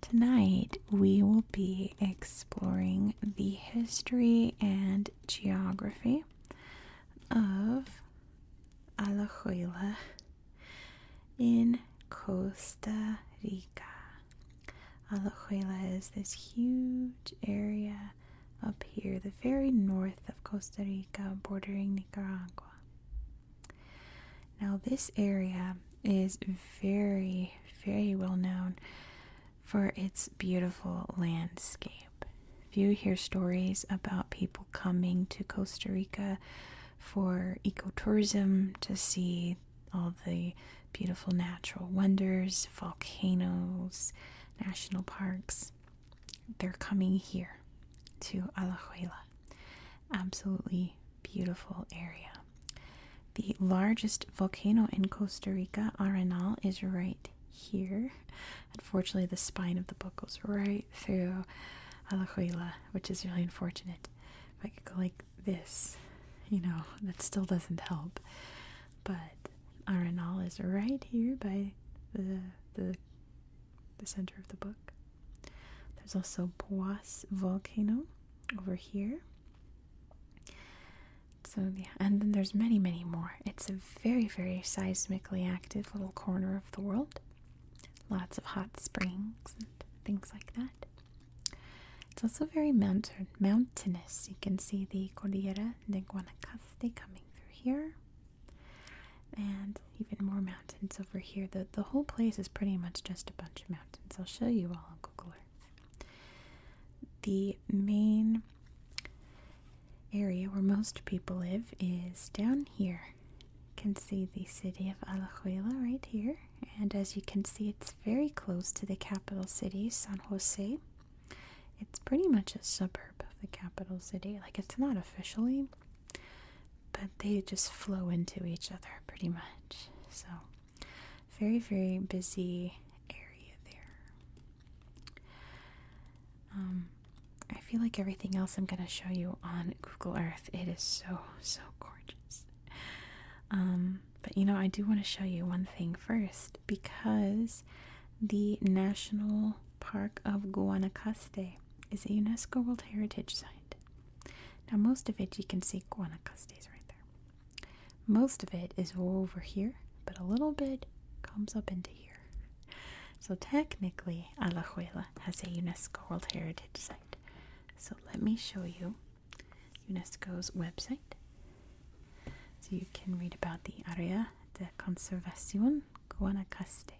Tonight, we will be exploring the history and geography of Alajuela in Costa Rica. Alajuela is this huge area up here, the very north of Costa Rica, bordering Nicaragua. Now, this area is very, very well known for its beautiful landscape. If you hear stories about people coming to Costa Rica for ecotourism to see all the beautiful natural wonders, volcanoes, national parks, they're coming here to Alajuela. Absolutely beautiful area. The largest volcano in Costa Rica, Arenal, is right here. Unfortunately, the spine of the book goes right through Alajuela, which is really unfortunate. If I could go like this, you know, that still doesn't help. But Arenal is right here by the the the center of the book. There's also Boas volcano over here. So yeah, and then there's many, many more. It's a very, very seismically active little corner of the world. Lots of hot springs and things like that. It's also very mountain mountainous. You can see the Cordillera de Guanacaste coming through here. And even more mountains mountains over here. The, the whole place is pretty much just a bunch of mountains. I'll show you all on Google Earth. The main area where most people live is down here. You can see the city of Alajuela right here. And as you can see, it's very close to the capital city, San Jose. It's pretty much a suburb of the capital city. Like, it's not officially, but they just flow into each other pretty much. So, very, very busy area there. Um, I feel like everything else I'm going to show you on Google Earth, it is so, so gorgeous. Um, but you know, I do want to show you one thing first because the National Park of Guanacaste is a UNESCO World Heritage Site. Now, most of it you can see Guanacaste right there. Most of it is over here, but a little bit comes up into here. So, technically, Alajuela has a UNESCO World Heritage Site. So, let me show you UNESCO's website. So, you can read about the Área de Conservación Guanacaste.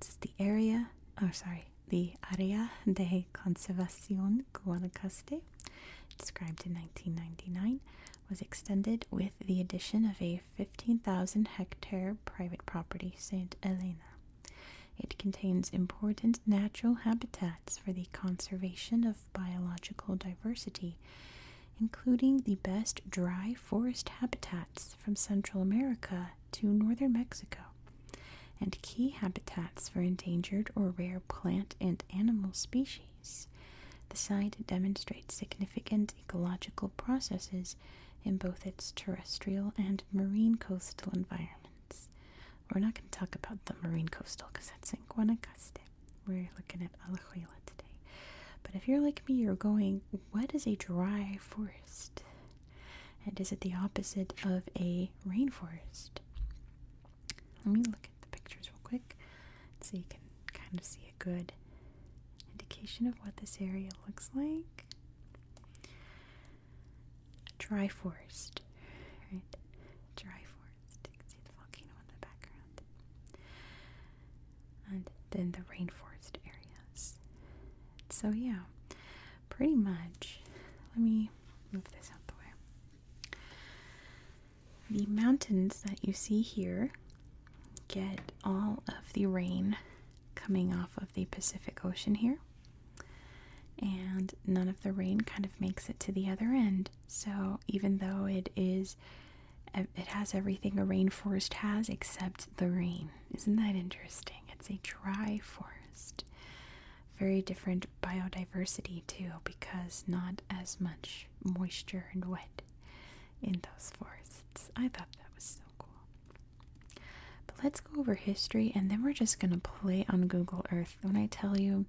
This is the area, oh, sorry, the Área de Conservación Guanacaste, described in 1999, was extended with the addition of a 15,000 hectare private property, St. Helena. It contains important natural habitats for the conservation of biological diversity, including the best dry forest habitats from Central America to northern Mexico, and key habitats for endangered or rare plant and animal species. The site demonstrates significant ecological processes in both its terrestrial and marine coastal environments. We're not going to talk about the marine coastal because that's in Guanacaste. We're looking at Alajuela today. But if you're like me, you're going, what is a dry forest? and is it the opposite of a rainforest? Let me look at the pictures real quick so you can kind of see a good indication of what this area looks like. Dry forest, right? Dry forest. You can see the volcano in the background. And then the rainforest areas. So, yeah, pretty much. Let me move this out the way. The mountains that you see here get all of the rain coming off of the Pacific Ocean here. And none of the rain kind of makes it to the other end. So even though it is it has everything a rainforest has except the rain. Isn't that interesting? It's a dry forest. Very different biodiversity, too, because not as much moisture and wet in those forests. I thought that was so cool. But let's go over history and then we're just gonna play on Google Earth. When I tell you,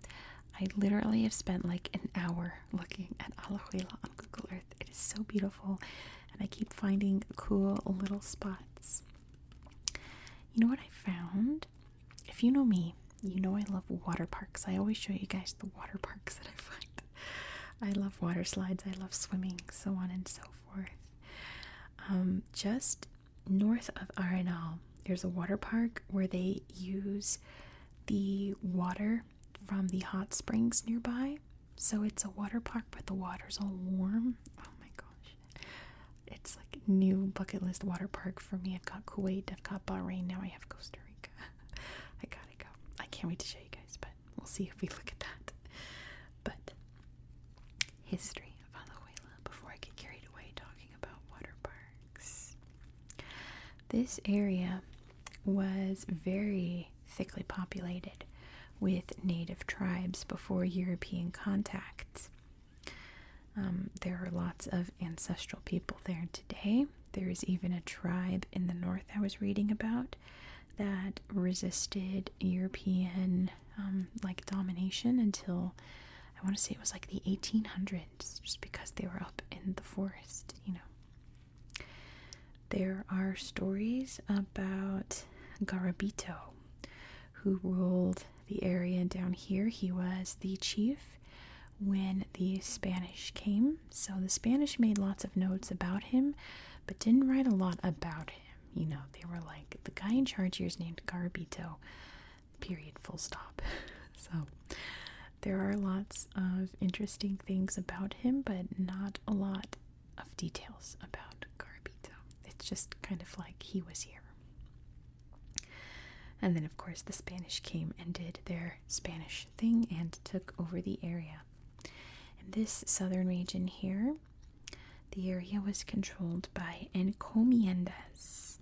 I literally have spent like an hour looking at Alajuela on Google Earth. It is so beautiful, and I keep finding cool little spots. You know what I found? If you know me, you know I love water parks. I always show you guys the water parks that I find. I love water slides, I love swimming, so on and so forth. Um, just north of Arenal, there's a water park where they use the water from the hot springs nearby. So it's a water park, but the water's all warm. Oh my gosh it's like new bucket list water park for me. I've got Kuwait, I've got Bahrain, now I have Costa Rica. I gotta go. I can't wait to show you guys, but we'll see if we look at that. But history of Alajuela before I get carried away talking about water parks. This area was very thickly populated with native tribes before European contacts, um, there are lots of ancestral people there today. There is even a tribe in the north I was reading about that resisted European um, like domination until I want to say it was like the 1800s, just because they were up in the forest, you know. There are stories about Garabito, who ruled the area down here. He was the chief when the Spanish came. So the Spanish made lots of notes about him, but didn't write a lot about him. You know, they were like, the guy in charge here is named Garbito, period, full stop. so there are lots of interesting things about him, but not a lot of details about Garabito. It's just kind of like he was here. And then, of course, the Spanish came and did their Spanish thing and took over the area. In this southern region here, the area was controlled by encomiendas.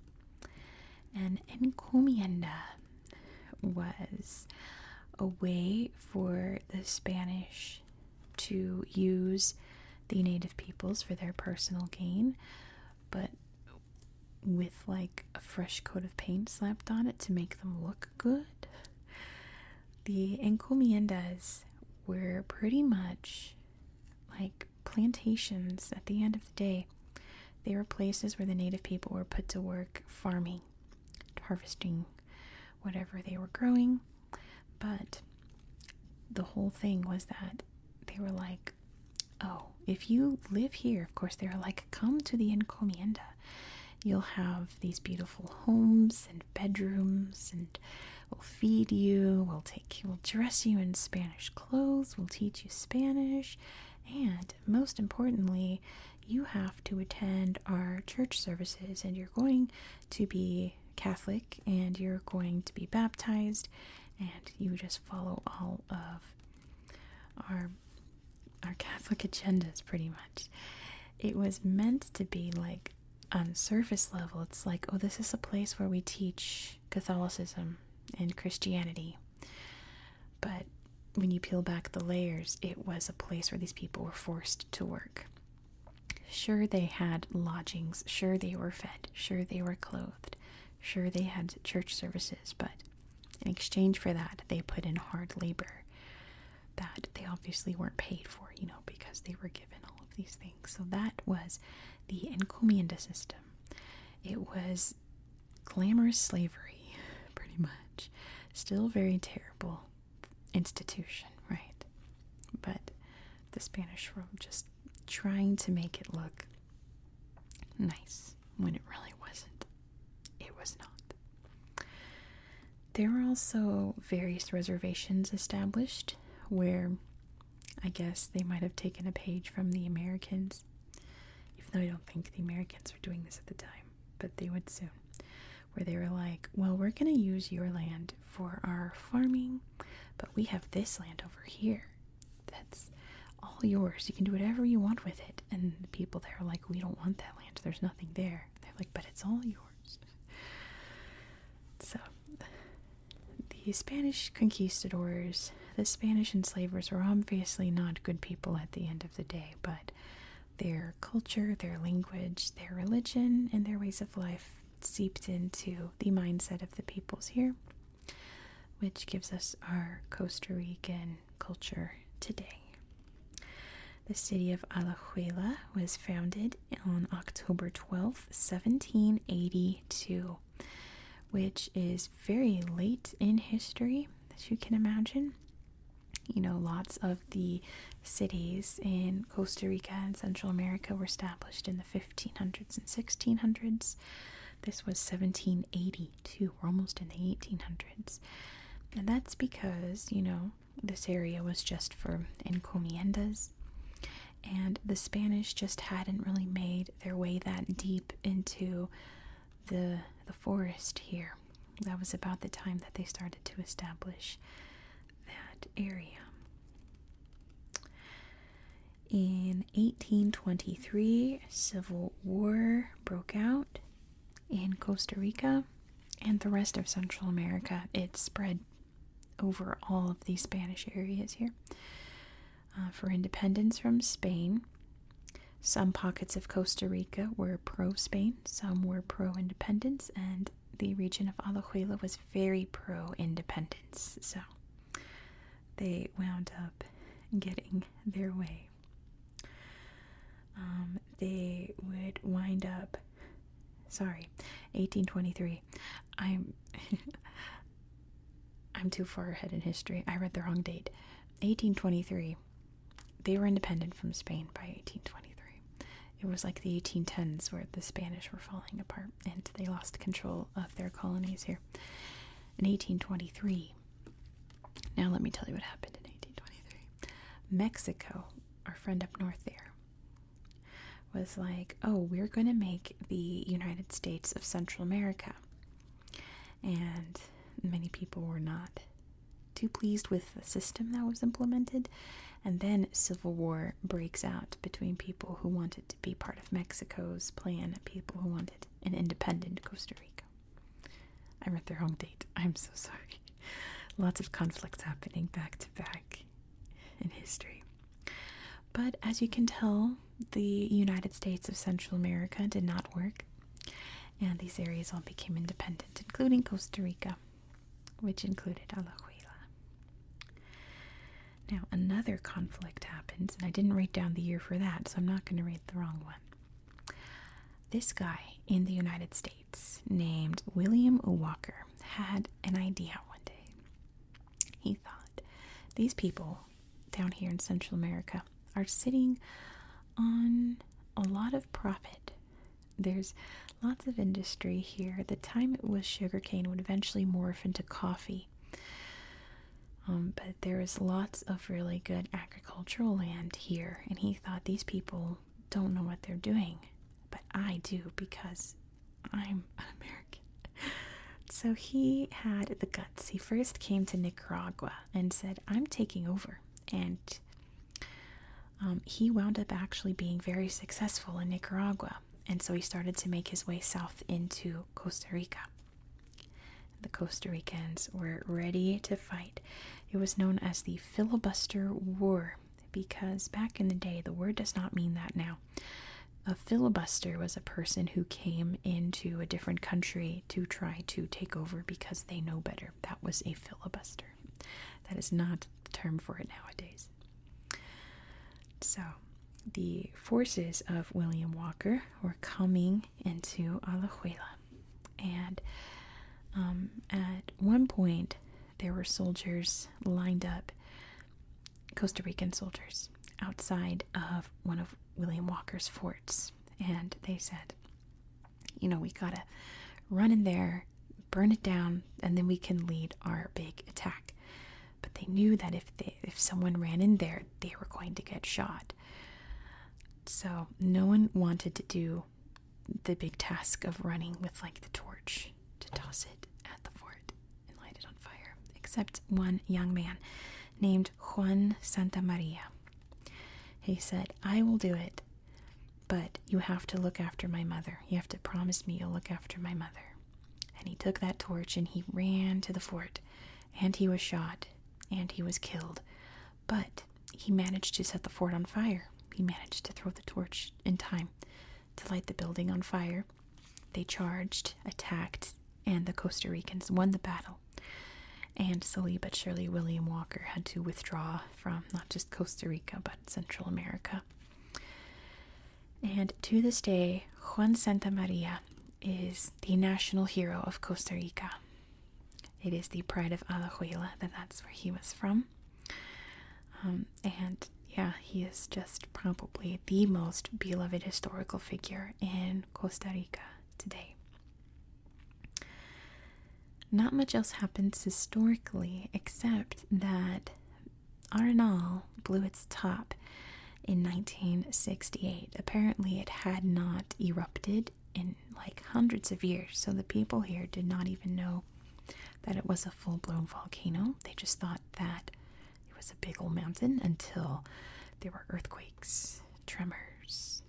and encomienda was a way for the Spanish to use the native peoples for their personal gain, but with like a fresh coat of paint slapped on it to make them look good. The encomiendas were pretty much like plantations at the end of the day. They were places where the native people were put to work farming, harvesting whatever they were growing, but the whole thing was that they were like, oh, if you live here, of course, they are like, come to the encomienda. You'll have these beautiful homes and bedrooms, and we'll feed you, we'll take you, we'll dress you in Spanish clothes, we'll teach you Spanish, and most importantly, you have to attend our church services, and you're going to be Catholic and you're going to be baptized, and you just follow all of our our Catholic agendas pretty much. It was meant to be like on surface level, it's like, oh, this is a place where we teach Catholicism and Christianity. But when you peel back the layers, it was a place where these people were forced to work. Sure, they had lodgings, sure, they were fed, sure, they were clothed, sure, they had church services, but in exchange for that, they put in hard labor that they obviously weren't paid for, you know, because they were given all of these things. So that was the encomienda system. It was glamorous slavery, pretty much. Still very terrible institution, right? But the Spanish were just trying to make it look nice when it really wasn't. It was not. There were also various reservations established where I guess they might have taken a page from the Americans, even though I don't think the Americans were doing this at the time, but they would soon. Where they were like, well, we're going to use your land for our farming, but we have this land over here that's all yours. You can do whatever you want with it. And the people there are like, we don't want that land. There's nothing there. They're like, but it's all yours. So the Spanish conquistadors, the Spanish enslavers were obviously not good people at the end of the day, but their culture, their language, their religion, and their ways of life seeped into the mindset of the peoples here, which gives us our Costa Rican culture today. The city of Alajuela was founded on October 12th, 1782, which is very late in history, as you can imagine. You know, lots of the cities in Costa Rica and Central America were established in the 1500s and 1600s. This was 1782. We're almost in the 1800s. And that's because, you know, this area was just for encomiendas. And the Spanish just hadn't really made their way that deep into the the forest here. That was about the time that they started to establish that area. In 1823, civil war broke out in Costa Rica and the rest of Central America. It spread over all of these Spanish areas here uh, for independence from Spain. Some pockets of Costa Rica were pro Spain, some were pro independence, and the region of Alajuela was very pro independence, so they wound up getting their way. Um, they would wind up, sorry, 1823. I'm. I'm too far ahead in history. I read the wrong date. 1823. They were independent from Spain by 1823. It was like the 1810s where the Spanish were falling apart and they lost control of their colonies here in 1823. Now, let me tell you what happened in 1823. Mexico, our friend up north there, was like, oh, we're going to make the United States of Central America. And many people were not too pleased with the system that was implemented and then civil war breaks out between people who wanted to be part of Mexico's plan and people who wanted an independent Costa Rica. I am at the wrong date. I'm so sorry. Lots of conflicts happening back to back in history. But as you can tell, the United States of Central America did not work, and these areas all became independent, including Costa Rica which included Alajuela. Now, another conflict happens, and I didn't write down the year for that, so I'm not going to read the wrong one. This guy in the United States, named William Walker, had an idea one day. He thought, these people down here in Central America are sitting on a lot of profit there's lots of industry here. the time, it was sugarcane, would eventually morph into coffee. Um, but there is lots of really good agricultural land here, and he thought these people don't know what they're doing, but I do because I'm an American. So he had the guts. He first came to Nicaragua and said, I'm taking over. And um, he wound up actually being very successful in Nicaragua, and so he started to make his way south into Costa Rica. The Costa Ricans were ready to fight. It was known as the Filibuster War because back in the day, the word does not mean that now. A filibuster was a person who came into a different country to try to take over because they know better. That was a filibuster. That is not the term for it nowadays. So, the forces of William Walker were coming into Alajuela, and um, at one point there were soldiers lined up, Costa Rican soldiers, outside of one of William Walker's forts, and they said, "You know, we gotta run in there burn it down, and then we can lead our big attack. But they knew that if if someone ran in there, they were going to get shot. So no one wanted to do the big task of running with like the torch to toss it at the fort and light it on fire, except one young man named Juan Santa Maria. He said, I will do it. But you have to look after my mother. You have to promise me you'll look after my mother. And he took that torch and he ran to the fort. And he was shot. And he was killed. But he managed to set the fort on fire. He managed to throw the torch in time to light the building on fire. They charged, attacked, and the Costa Ricans won the battle. And slowly but surely, William Walker had to withdraw from not just Costa Rica, but Central America. And to this day, Juan Santa Maria is the national hero of Costa Rica. It is the pride of Alajuela that that's where he was from. Um, and yeah, he is just probably the most beloved historical figure in Costa Rica today. Not much else happens historically except that Arenal blew its top in 1968. Apparently, it had not erupted in like hundreds of years, so the people here did not even know that it was a full blown volcano. They just thought that it was a big old mountain until there were earthquakes, tremors,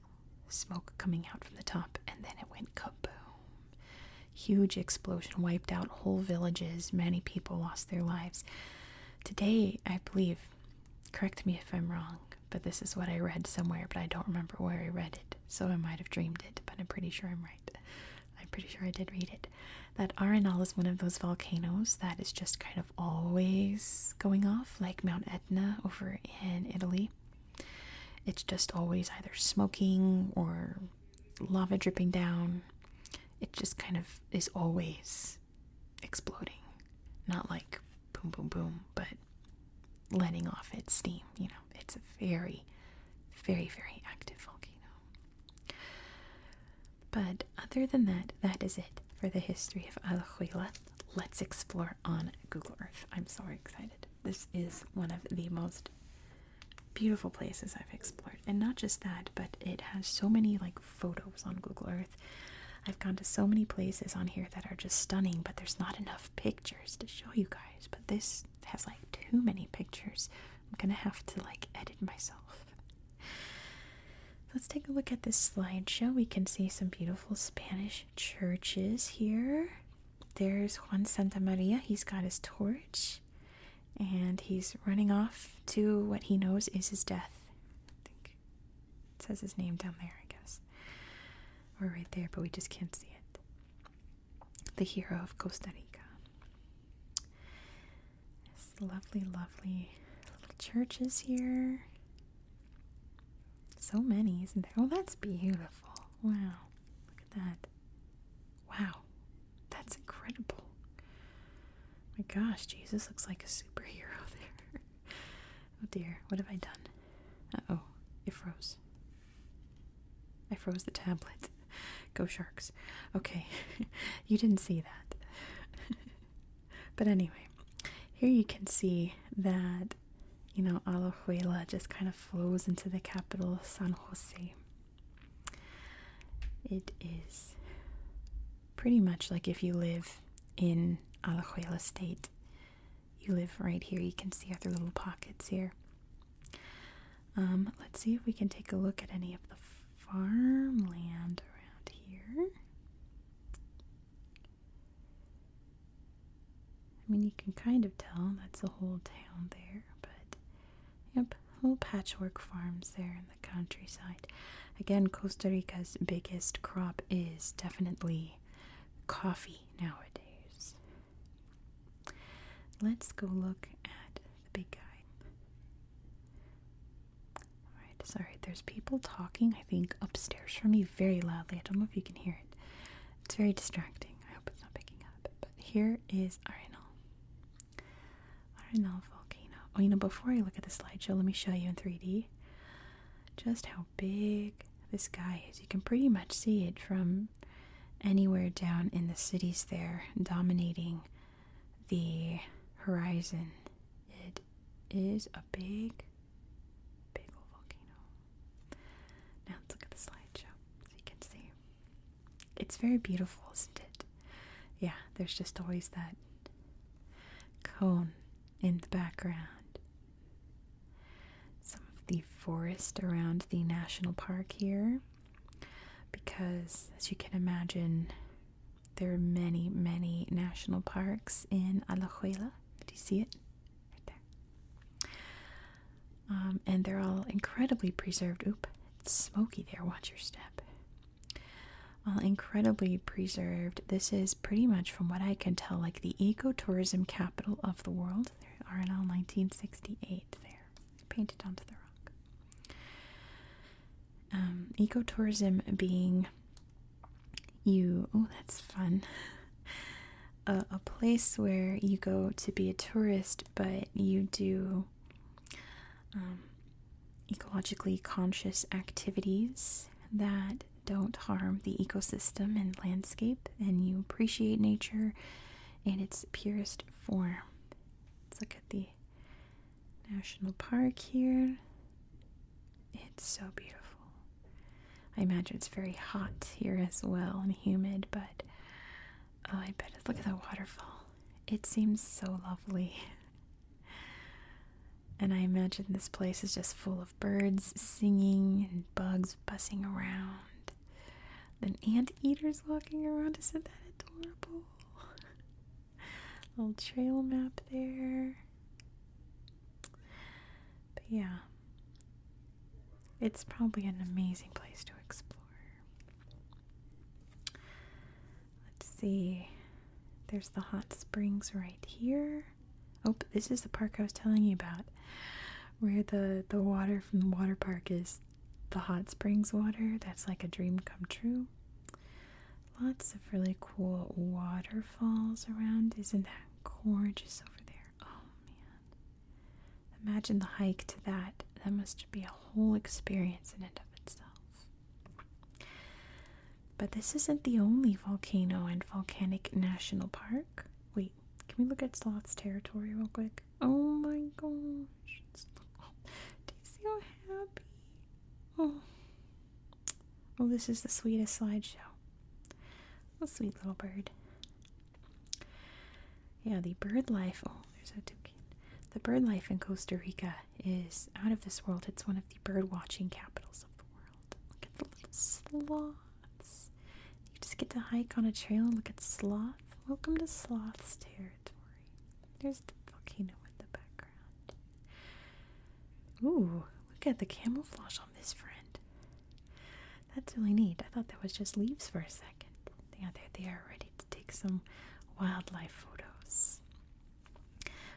smoke coming out from the top, and then it went kaboom. Huge explosion wiped out whole villages. Many people lost their lives. Today, I believe, correct me if I'm wrong, but this is what I read somewhere, but I don't remember where I read it, so I might have dreamed it, but I'm pretty sure I'm right. I'm pretty sure I did read it. That Arenal is one of those volcanoes that is just kind of always going off, like Mount Etna over in Italy. It's just always either smoking or lava dripping down. It just kind of is always exploding. Not like boom, boom, boom, but letting off its steam. You know, it's a very, very, very active volcano. But other than that, that is it for the history of Alajuela. Let's explore on Google Earth. I'm so excited. This is one of the most beautiful places I've explored. And not just that, but it has so many like photos on Google Earth. I've gone to so many places on here that are just stunning, but there's not enough pictures to show you guys. But this has like too many pictures. I'm gonna have to like edit myself. Let's take a look at this slideshow. We can see some beautiful Spanish churches here. There's Juan Santa Maria. He's got his torch and he's running off to what he knows is his death. I think it says his name down there, I guess. we're right there, but we just can't see it. The hero of Costa Rica. This lovely, lovely little churches here. So many, isn't there? Oh, that's beautiful. Wow. Look at that. Wow, that's incredible. My gosh, Jesus looks like a superhero there. oh dear, what have I done? Uh oh, it froze. I froze the tablet. Go sharks. Okay, you didn't see that. but anyway, here you can see that, you know, Alajuela just kind of flows into the capital, San Jose. It is pretty much like if you live in Alajuela State. You live right here. You can see other little pockets here. Um, let's see if we can take a look at any of the farmland around here. I mean, you can kind of tell that's a whole town there, but Yep, little patchwork farms there in the countryside. Again, Costa Rica's biggest crop is definitely coffee nowadays. Let's go look at the big guy. Alright, sorry, there's people talking, I think, upstairs for me very loudly. I don't know if you can hear it. It's very distracting. I hope it's not picking up here is Arenal. Arenal volcano. Oh, you know, before I look at the slideshow, let me show you in 3D just how big this guy is. You can pretty much see it from anywhere down in the cities there, dominating the horizon. It is a big, big volcano. Now let's look at the slideshow so you can see. It's very beautiful, isn't it? Yeah, there's just always that cone in the background. Some of the forest around the national park here, because as you can imagine, there are many, many national parks in Alajuela. Do you see it? Right there. Um, and they're all incredibly preserved. Oop, it's smoky there. Watch your step. All incredibly preserved. This is pretty much, from what I can tell, like the ecotourism capital of the world. There are in all 1968 there, painted onto the rock. Um, ecotourism being you, oh, that's fun. a place where you go to be a tourist but you do um, ecologically conscious activities that don't harm the ecosystem and landscape, and you appreciate nature in its purest form. Let's look at the national park here. It's so beautiful. I imagine it's very hot here as well and humid, but Oh, I bet Look at the waterfall. It seems so lovely. And I imagine this place is just full of birds singing and bugs buzzing around. Then anteaters walking around. Isn't that adorable? Little trail map there. But yeah, it's probably an amazing place to explore. Let's see. There's the hot springs right here. Oh, this is the park I was telling you about, where the the water from the water park is the hot springs water. That's like a dream come true. Lots of really cool waterfalls around. Isn't that gorgeous over there? Oh man. Imagine the hike to that. That must be a whole experience in and of itself. But this isn't the only volcano and volcanic national park. Wait, can we look at Sloth's territory real quick? Oh my gosh. Do you see how happy? Oh. Oh, this is the sweetest slideshow. Oh, sweet little bird. Yeah, the bird life. Oh, there's a toucan. The bird life in Costa Rica is out of this world. It's one of the bird watching capitals of the world. Look at the little sloths. You just get to hike on a trail and look at sloths. Welcome to sloth's territory. There's the volcano in the background. Ooh, look at the camouflage on this friend. That's really neat. I thought that was just leaves for a second. Yeah, there they are ready to take some wildlife photos.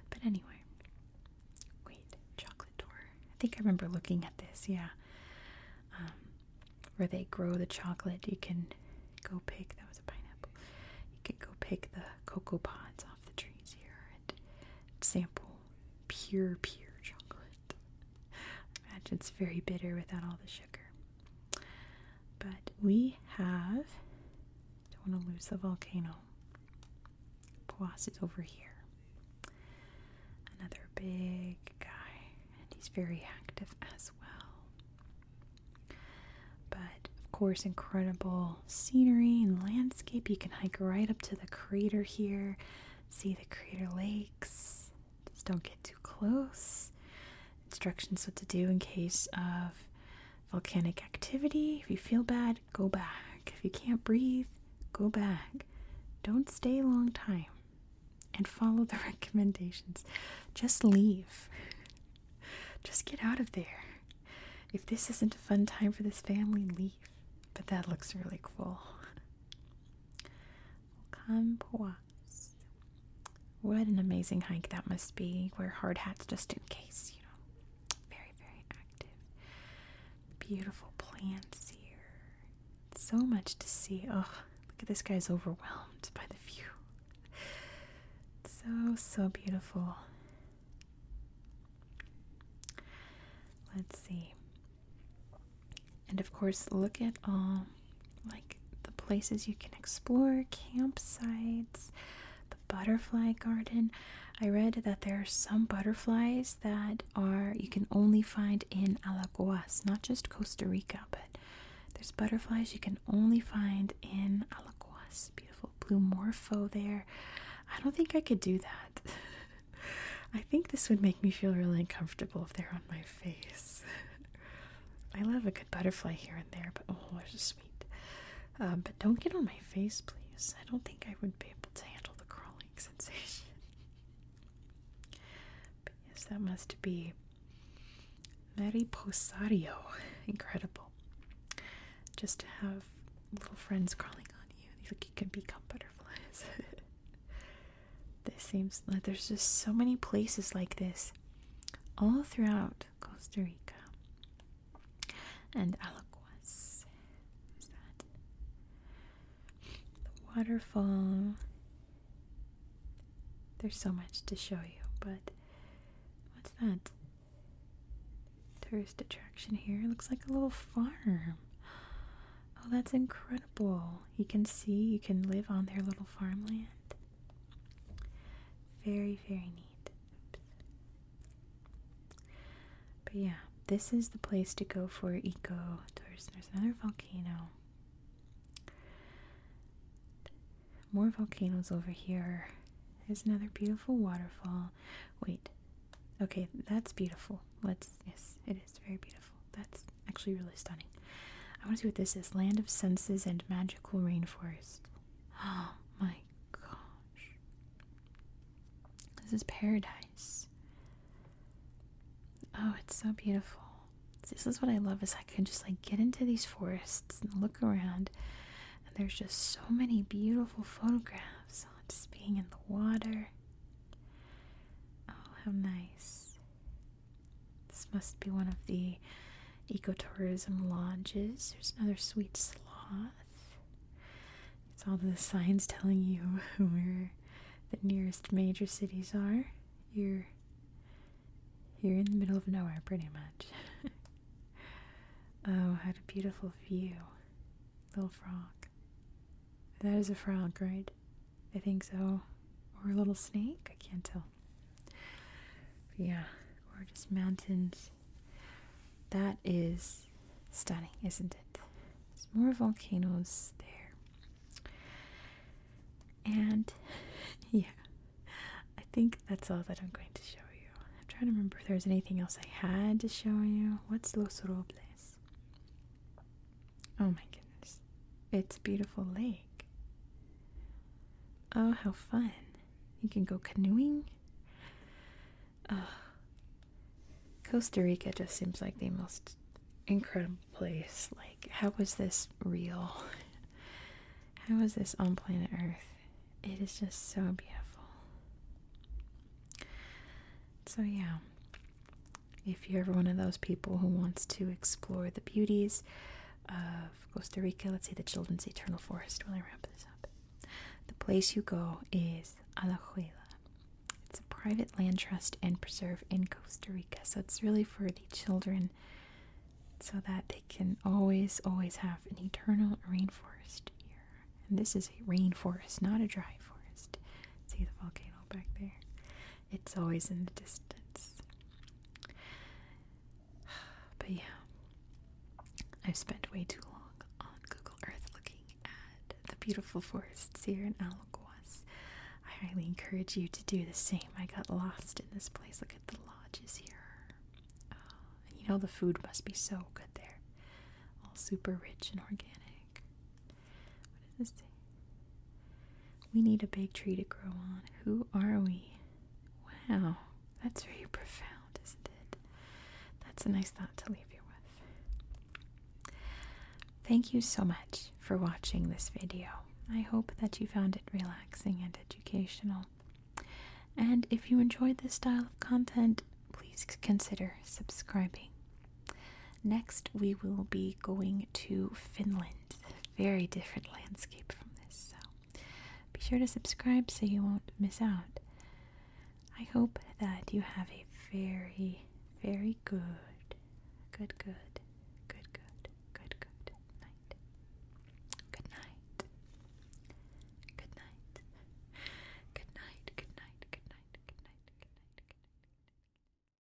But anyway, wait, chocolate door. I think I remember looking at this, yeah. Um, where they grow the chocolate, you can go pick, that was a pineapple, you could go pick the cocoa pods off the trees here and sample pure, pure chocolate. imagine it's very bitter without all the sugar. But we have, don't want to lose the volcano. Poas is over here. Another big guy, and he's very active as well. But of course, incredible scenery and landscape. You can hike right up to the crater here, see the crater lakes, just don't get too close. Instructions what to do in case of volcanic activity. If you feel bad, go back. If you can't breathe, go back. Don't stay a long time. And follow the recommendations. Just leave. Just get out of there. If this isn't a fun time for this family, leave. But that looks really cool. Kanpoa. What an amazing hike that must be. Wear hard hats just in case, you know. Very, very active. Beautiful plants here. So much to see. Oh, look at this guy's overwhelmed by the view. So, so beautiful. Let's see. And of course, look at all like the places you can explore, campsites, the butterfly garden. I read that there are some butterflies that are you can only find in Alagoas, not just Costa Rica, but there's butterflies you can only find in Alagoas. Beautiful blue morpho there. I don't think I could do that. I think this would make me feel really uncomfortable if they're on my face. I love a good butterfly here and there, but oh, it's sweet. Um, but don't get on my face, please. I don't think I would be able to handle the crawling sensation. yes, that must be Posadio, Incredible. Just to have little friends crawling on you. Like you can become butterflies. This seems like there's just so many places like this all throughout Costa Rica. And Alaguas. Is that the waterfall? There's so much to show you, but what's that? Tourist attraction here. looks like a little farm. Oh, that's incredible incredible. You can see, you can live on their little farmland. Very, very neat. But yeah, this is the place to go for eco tourism. There's another volcano. More volcanoes over here. There's another beautiful waterfall. Wait. Okay, that's beautiful. Let's yes, it is very beautiful. That's actually really stunning. I want to see what this is. Land of Senses and Magical Rainforest. Oh my gosh. This is paradise. Oh, it's so beautiful. This is what I love is I can just like get into these forests and look around and there's just so many beautiful photographs. just being in the water. Oh, how nice. This must be one of the ecotourism lodges. There's another sweet sloth. It's all the signs telling you where the nearest major cities are. You're you in the middle of nowhere pretty much. oh, had a beautiful view. Little frog. That is a frog, right? I think so, or a little snake. I can't tell. yeah, or just mountains. That is stunning, isn't it? There's more volcanoes there. And yeah, I think that's all that I'm going to show you. I'm trying to remember if there's anything else I had to show you. What's Los Robles? Oh my goodness. It's a beautiful lake. Oh, how fun. You can go canoeing. Oh. Costa Rica just seems like the most incredible place. Like, how is this real? How is this on planet Earth? It is just so beautiful. So, yeah, if you're ever one of those people who wants to explore the beauties of Costa Rica, let's say the Children's Eternal Forest, While I wrap this up, the place you go is Alajuela. It's a private land trust and preserve in Costa Rica, so it's really for the children so that they can always, always have an eternal rainforest here. And this is a rainforest, not a dry forest. See the volcano back there it's always in the distance. But yeah, I've spent way too long on Google Earth looking at the beautiful forests here in Alaguas. I highly encourage you to do the same. I got lost in this place. Look at the lodges here. Ah, you know, the food must be so good there. All super rich and organic. We need a big tree to grow on. Who are we? Wow, that's very profound, isn't it? That's a nice thought to leave you with. Thank you so much for watching this video. I hope that you found it relaxing and educational. And if you enjoyed this style of content, please consider subscribing. Next, we will be going to Finland. Very different landscape from this, so be sure to subscribe so you won't miss out. I hope that you have a very, very good, good, good, good, good, good, good night. Good night. Good night. Good night. Good night. Good night. Good night. Good night. Good night.